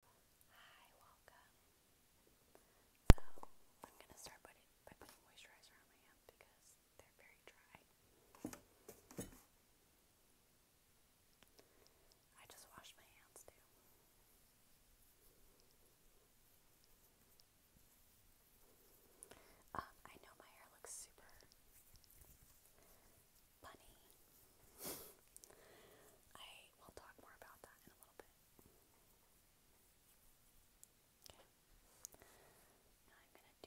Hi, welcome. So, I'm going to start by, putting moisturizer on my hands because they're very dry. I just washed my hands too. Um, I know my hair looks super bunny. I date. We'll talk more about that in a little bit. I'm going to do my makeup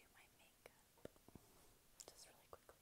just really quickly.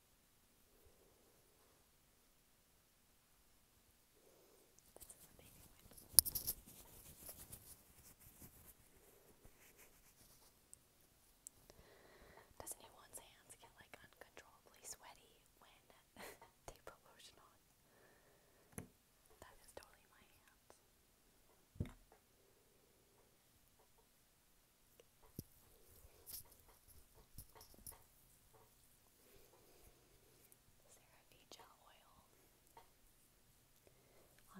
This is Doesn't anyone's hands get like uncontrollably sweaty when they put lotion on? That is totally my hands. CeraVe Gel Oil on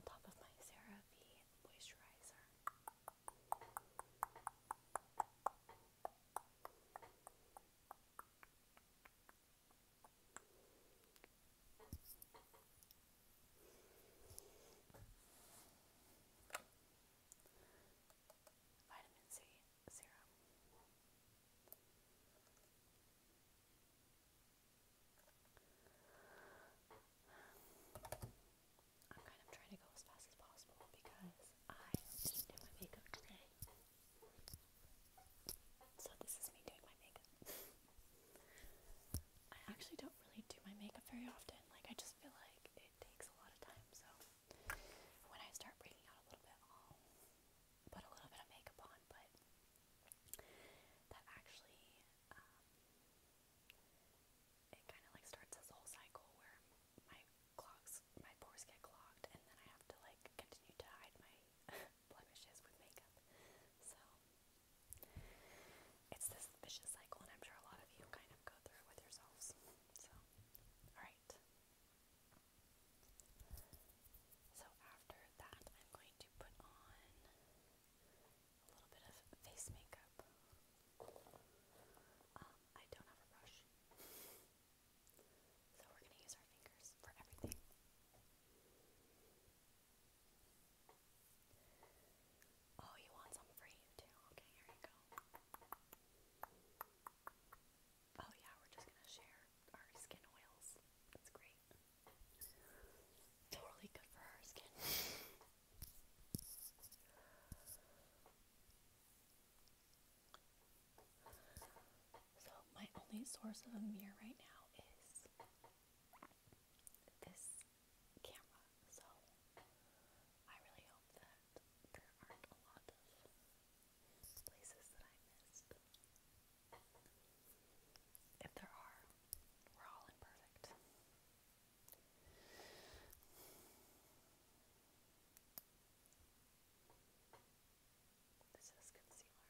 top of my CeraVe Moisturizer. Vitamin C serum. I'm kind of trying to go as fast as possible because I just did my makeup today. So this is me doing my makeup. I actually don't really do my makeup very often. Like I just feel like it takes a lot of time, so when I start breaking out a little bit, put a little bit of makeup on, but that actually, um, it kind of like starts this whole cycle where my clogs, my pores get clogged, and then I have to like continue to hide my blemishes with makeup. So it's this vicious cycle, and I'm sure a lot of you kind kind of go through with yourselves. So, alright. So, after that, I'm going to put on a little bit of face makeup. Um, I don't have a brush. So, we're going to use our fingers for everything. Oh, you want some for too? Okay, here you go. Oh yeah, we're just gonna share our skin oils. That's great. Totally good for our skin. so my only source of a mirror right now is this camera, so I really hope that there aren't a lot of places that I missed. If there are, we're all imperfect. This is concealer.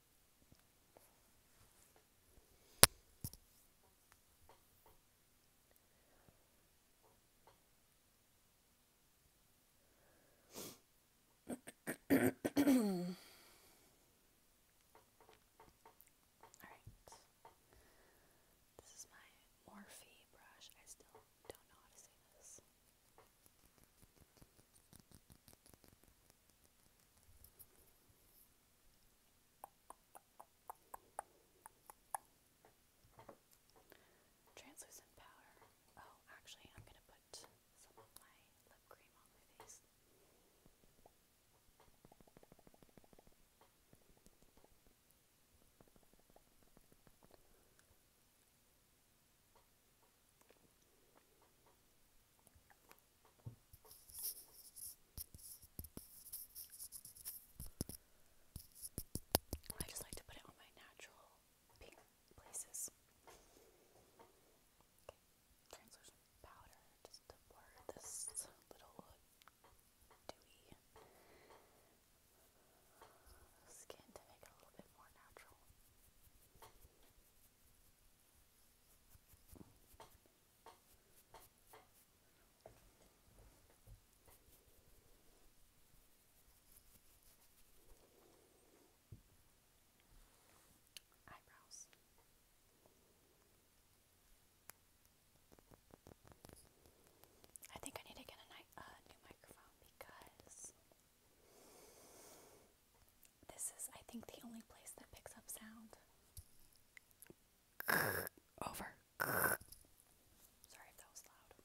All right. This is my Morphe brush. I still don't know how to say this. Translucent powder. Oh, actually, I'm going to put some of my lip cream on my face. I just like to put it on my natural pink places. translucent powder just to blur this little dewy skin to make it a little bit more natural. Eyebrows. I think I need to get a, uh, new microphone because this is, I think, the only place that picks up sound. Over. Sorry if that was loud.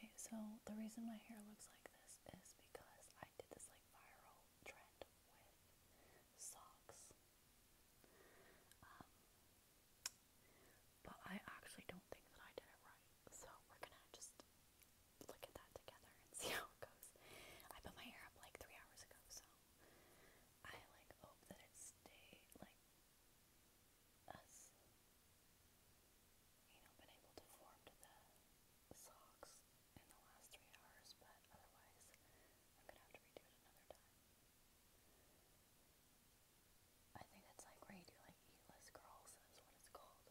Okay, so the reason my hair looks like this is because I did this like viral trend with socks. Um, but I actually don't think that I did it right. So we're gonna just look at that together and see how it goes. I put my hair up like three hours ago, so I like hope that it stayed like us you know, been able to form the socks in the last three hours, but otherwise I'm gonna have to redo it another time. I think it's like where you do like eatless girls is called.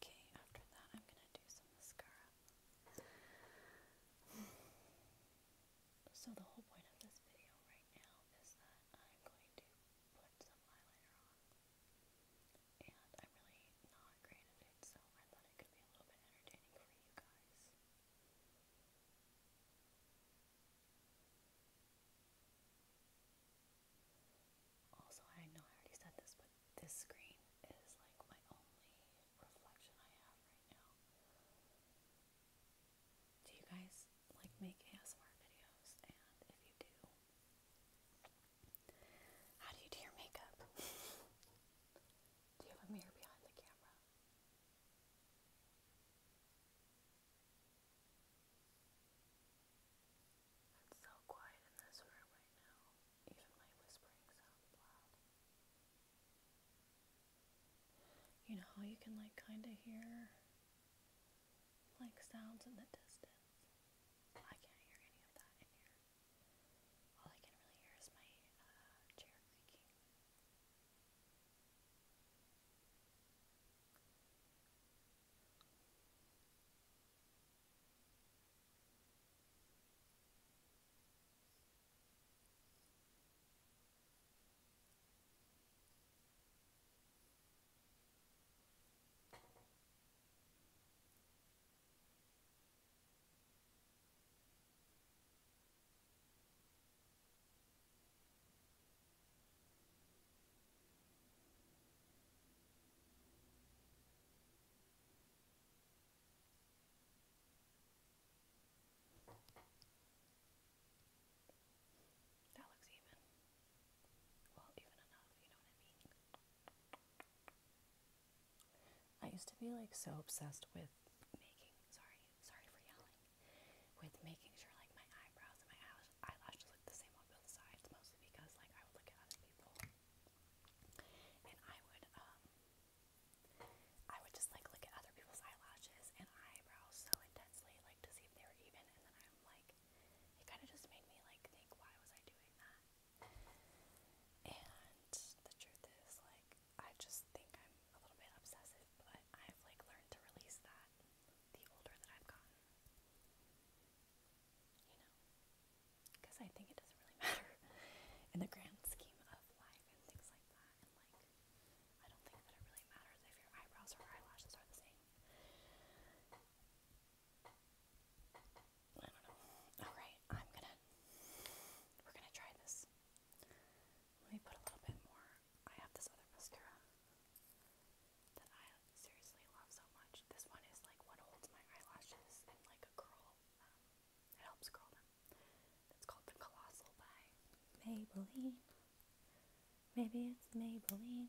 okay, after that I'm gonna do some mascara. So the whole point of this video right now is that I'm going to put some eyeliner on. And I'm really not great at it, so I thought it could be a little bit entertaining for you guys. Also, I know I already said this, but this screen is like my only reflection I have right now. Do you guys like make ASMR videos? And if you do, how do you do your makeup? do you have a mirror behind the camera? It's so quiet in this room right now. Even my whispering sounds loud. You know how you can like kind of hear like sounds in the distance? I can't hear any of that in here. All I can really hear is my uh, chair creaking. I that looks even. I I used to be like so obsessed with making, sorry, sorry for yelling, with making sure like my eyebrows and my eyelashes look the same on both sides, mostly because like I would look at other people and I would, um, I would just like look at other people's eyelashes and eyebrows so intensely, like to see if they were even, and then I'm like, it kind of just made me like think, why was I doing that? And the truth is, like, I just think I'm a little bit obsessive, but I've like learned to release that the older that I've gotten. You know? Because I think it doesn't really matter in the grand scheme of life and things like that. like, I don't think that it really matters if your eyebrows or eyelashes are the same. I don't know. Alright, I'm gonna. We're gonna try this. Let me put a little bit more. I have this other mascara that I seriously love so much. This one is like what holds my eyelashes and like a curl. Um, it helps curl them. It's called the Colossal by Maybelline. Maybe it's Maybelline.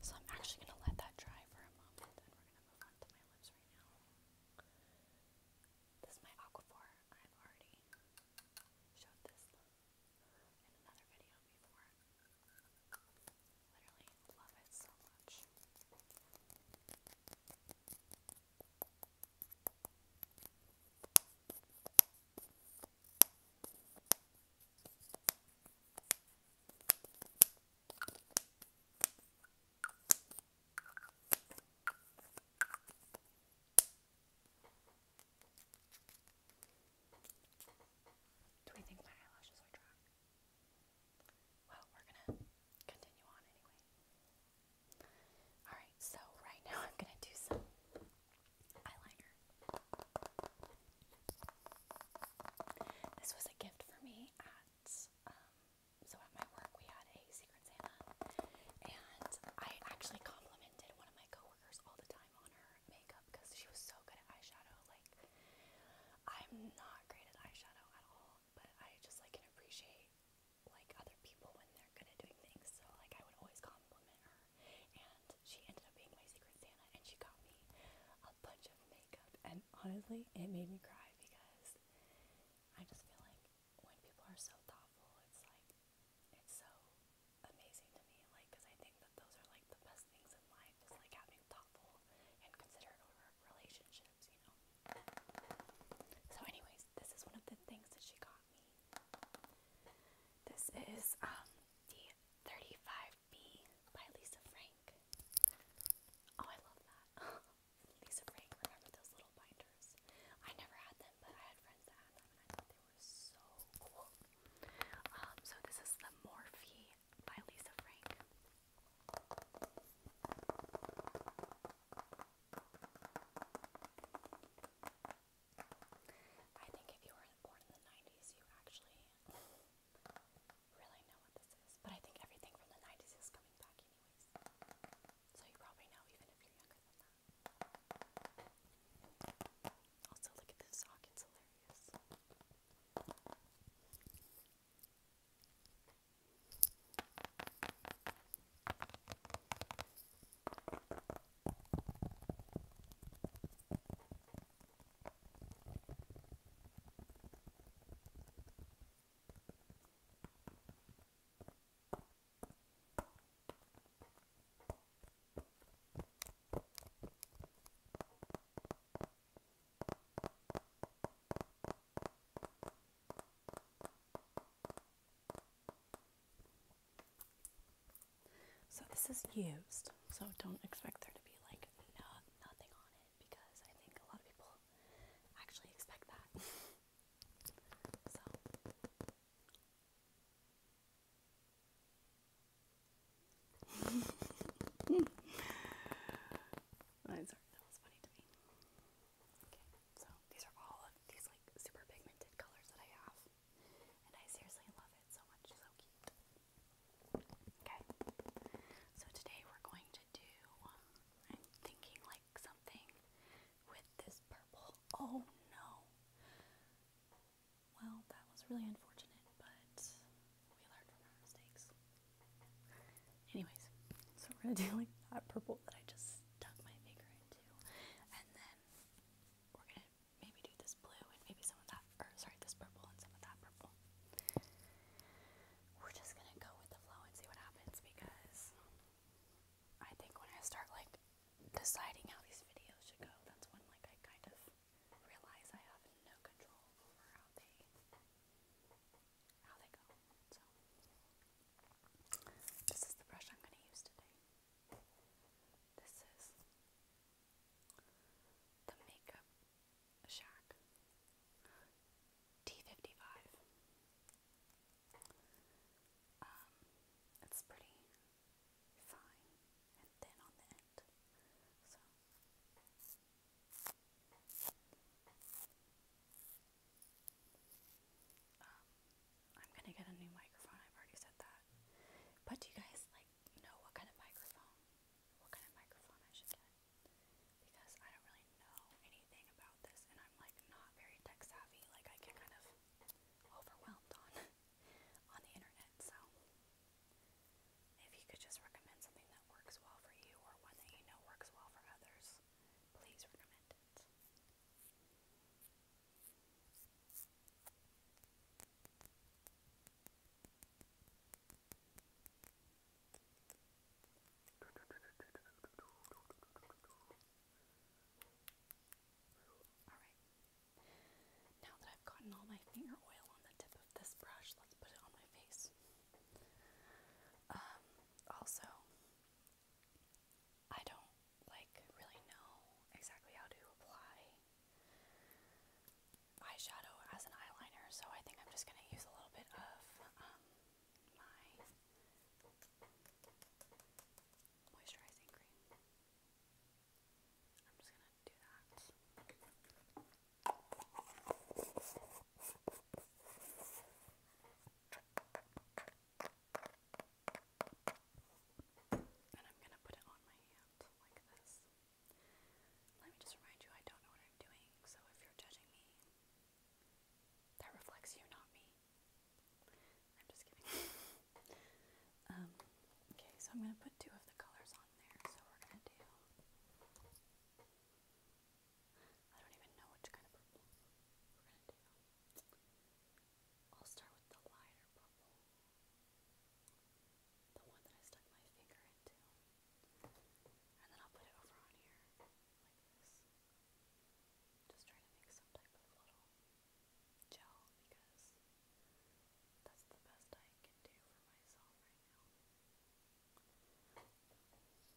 So I'm actually going to let that dry for a moment, and we're going to move on my lips right now. This is my Aquaphor. I've already showed this in another video before. Literally love it so much. Do we think my eyelashes are dry? Well, we're gonna continue on anyway. Alright, so right now I'm gonna do some eyeliner. This was a gift for me at um, so at my work we had a Secret Santa, and I actually complimented one of my coworkers all the time on her makeup because she was so good at eyeshadow. Like, I'm not great at eyeshadow at all, but I just like can appreciate like other people when they're good at doing things. So like I would always compliment her, and she ended up being my Secret Santa, and she got me a bunch of makeup, and honestly, it made me cry because I just feel like when people are so thoughtful, it's like, it's so amazing to me, like, because I think that those are like the best things in life is like having thoughtful and considerate relationships, you know. So, anyways, this is one of the things that she got me. This is um, the 35B by Lisa Frank. Oh, I love that. Lisa Frank, remember those little binders? I never had them, but I had friends that had them, and I thought they were so cool. Um, so this is the Morphe by Lisa Frank. I think if you were born in the 90s, you actually really know what this is, but I think everything from the 90s is coming back anyways. So you probably know even if you're younger than that. Also, look at this sock, it's hilarious. So this is used, so don't expect there to be like no, nothing on it because I think a lot of people actually expect that. so I'm sorry, that was funny to me. Okay, so these are all of these like super pigmented colors that I have, and I seriously love it so much. So cute. Okay, so today we're going to do. I'm thinking like something with this purple. Oh no! Well, that was really unfortunate, but we learned from our mistakes. Anyways, so we're gonna do like that purple that I just stuck my finger into, and then we're gonna maybe do this blue and maybe some of that, or sorry, this purple and some of that purple we're just gonna go with the flow and see what happens because I think when I start like deciding how these videos should go, that's when like I kind of realize I have no control over how they how they go. So this is the brush I'm gonna use today. This is the makeup Shack T55. Um, it's pretty fine and thin on the end. So um, I'm gonna get a new microphone. I've already said that. But do you guys like know what kind of microphone? What kind of microphone I should get? because I don't really know anything about this and I'm like not very tech savvy. Like I get kind of overwhelmed on on the internet. So if you could just recommend something that works well for you or one that you know works well for others, please recommend now that I've gotten all my finger oil on the tip of this brush, let's put it on my face. Um, also, I don't like really know exactly how to apply eyeshadow as an eyeliner, so I think I'm just going to use a little bit of um, my moisturizing cream. I'm just going to do that. And I'm going to put it on my hand like this. Let me just remind you, I don't know what I'm doing, so if you're judging me, that reflects you, not me. I'm just kidding. Um, okay, so I'm going to put two of the colors on there. So we're going to do. I don't even know which kind of purple we're going to do. I'll start with the lighter purple. The one that I stuck my finger into. And then I'll put it over on here, like this. Just try to make some type of little gel because that's the best I can do for myself right now. Alright, so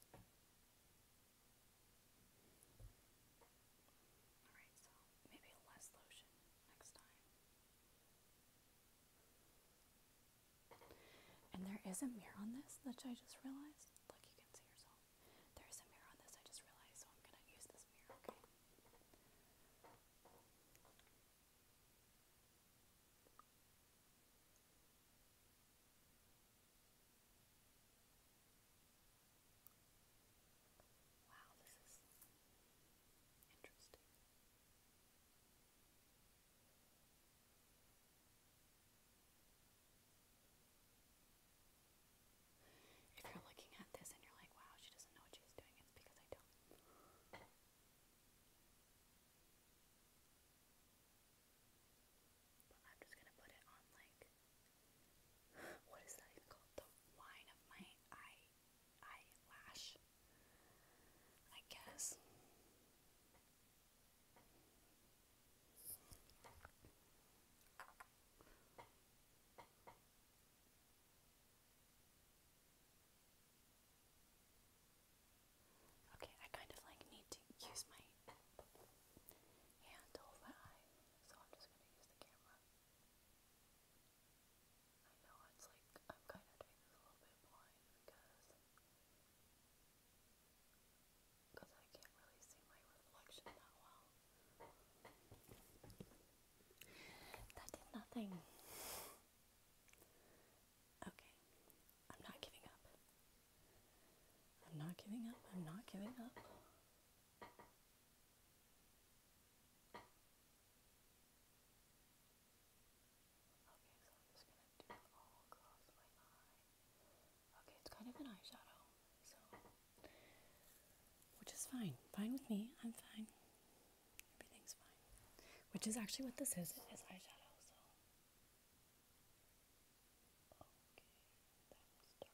maybe less lotion next time. And there is a mirror on this, which I just realized. Look, you can see yourself. There is a mirror on this, I just realized, so I'm going to use this mirror, okay? Wow, this is interesting. If you're looking at this and you're like, wow, she doesn't know what she's doing, it's because I don't. But I'm just gonna put it on like, what is that even called? The wine of my eye eyelash, I guess. Okay, I kind of like need to use my hand to hold my eye, so I'm just going to use the camera. I know it's like I'm kind of doing this a little bit blind because because I can't really see my reflection that well. That did nothing. Okay, I'm not giving up. I'm not giving up. I'm not giving up so I'm just gonna do all across my eye. Okay, it's kind of an eyeshadow, so which is fine. Fine with me. I'm fine. Everything's fine. Which is actually what this is. It is eyeshadow, so okay, that one's dark.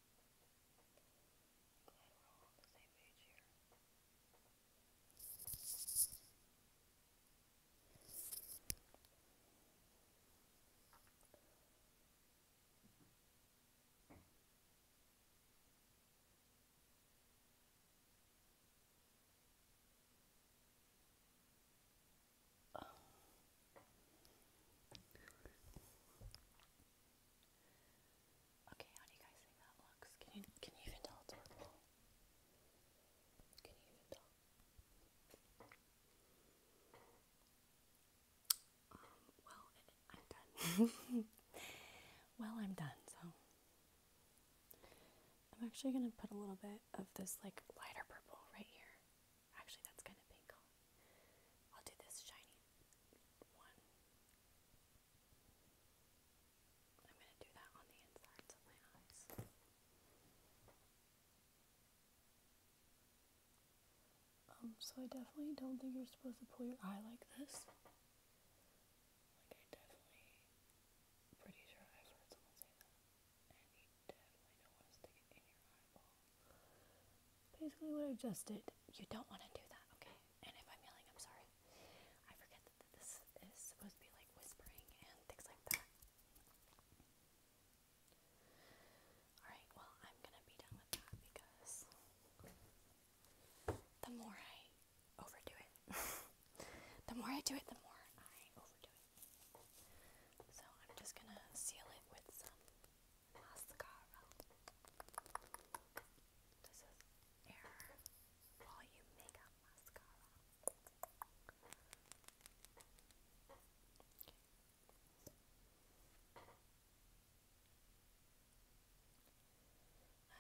Glad we're all on the same page here. All Okay, how do you guys think that looks? Can you can you even tell well, I'm done. well, I'm done. So I'm actually gonna put a little bit of this like lighter purple right here. Actually, that's kind of pink. I'll do this shiny one. I'm going to do that on the insides of my eyes. Um, so I definitely don't think you're supposed to pull your eye like this. Like I definitely, pretty sure I've heard someone say that, Basically what I just did. You don't want to do that, okay? And if I'm yelling, I'm sorry. I forget that this is supposed to be like whispering and things like that. Alright, well, I'm gonna be done with that because the more I overdo it, the more I do it, the more I overdo it. So I'm just going to seal it with some mascara. This is Air Volume Makeup Mascara. I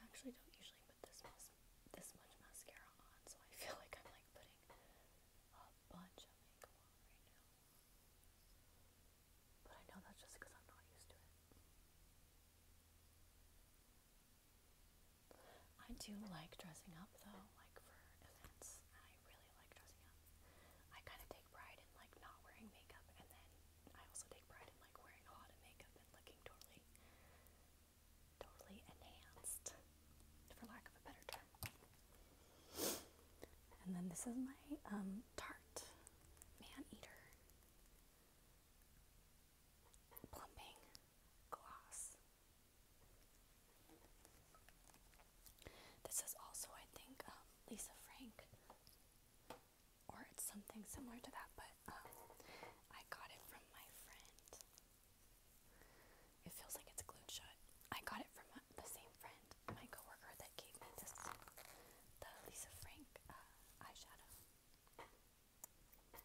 actually don't usually put this this much mascara on, so I feel like I'm like putting a bunch of makeup on right now. But I know that's just because I'm not used to it. I do like dressing up though, like for events. I really like dressing up. I kind of take pride in like not wearing makeup, and then I also take pride in like wearing a lot of makeup and looking totally, totally enhanced, for lack of a better term. And then this is my um, Tarte Man Eater Plumping Gloss. This is also, I think, um, Lisa Frank, or it's something similar to that, but um, I got it from my friend. It feels like it's glued shut. I got it from uh, the same friend, my coworker that gave me the Lisa Frank uh, eyeshadow. Wow. That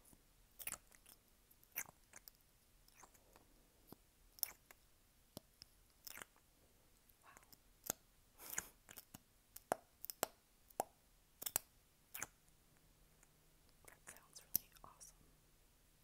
sounds really awesome.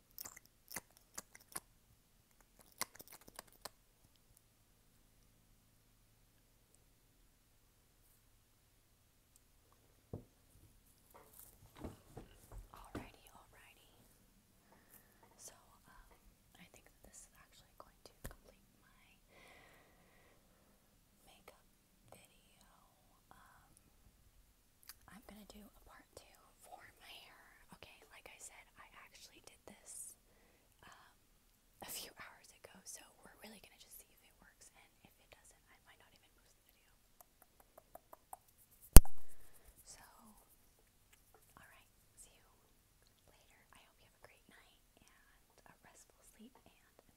Alrighty, alrighty. So, um, I think this is actually going to complete my makeup video. Um, I'm gonna do a part two for my hair. Okay, like I said, I actually did this um, a few hours ago, so we're really gonna just see if it works, and if it doesn't, I might not even post the So, alright, see you later. I hope you have a great night and a restful sleep and an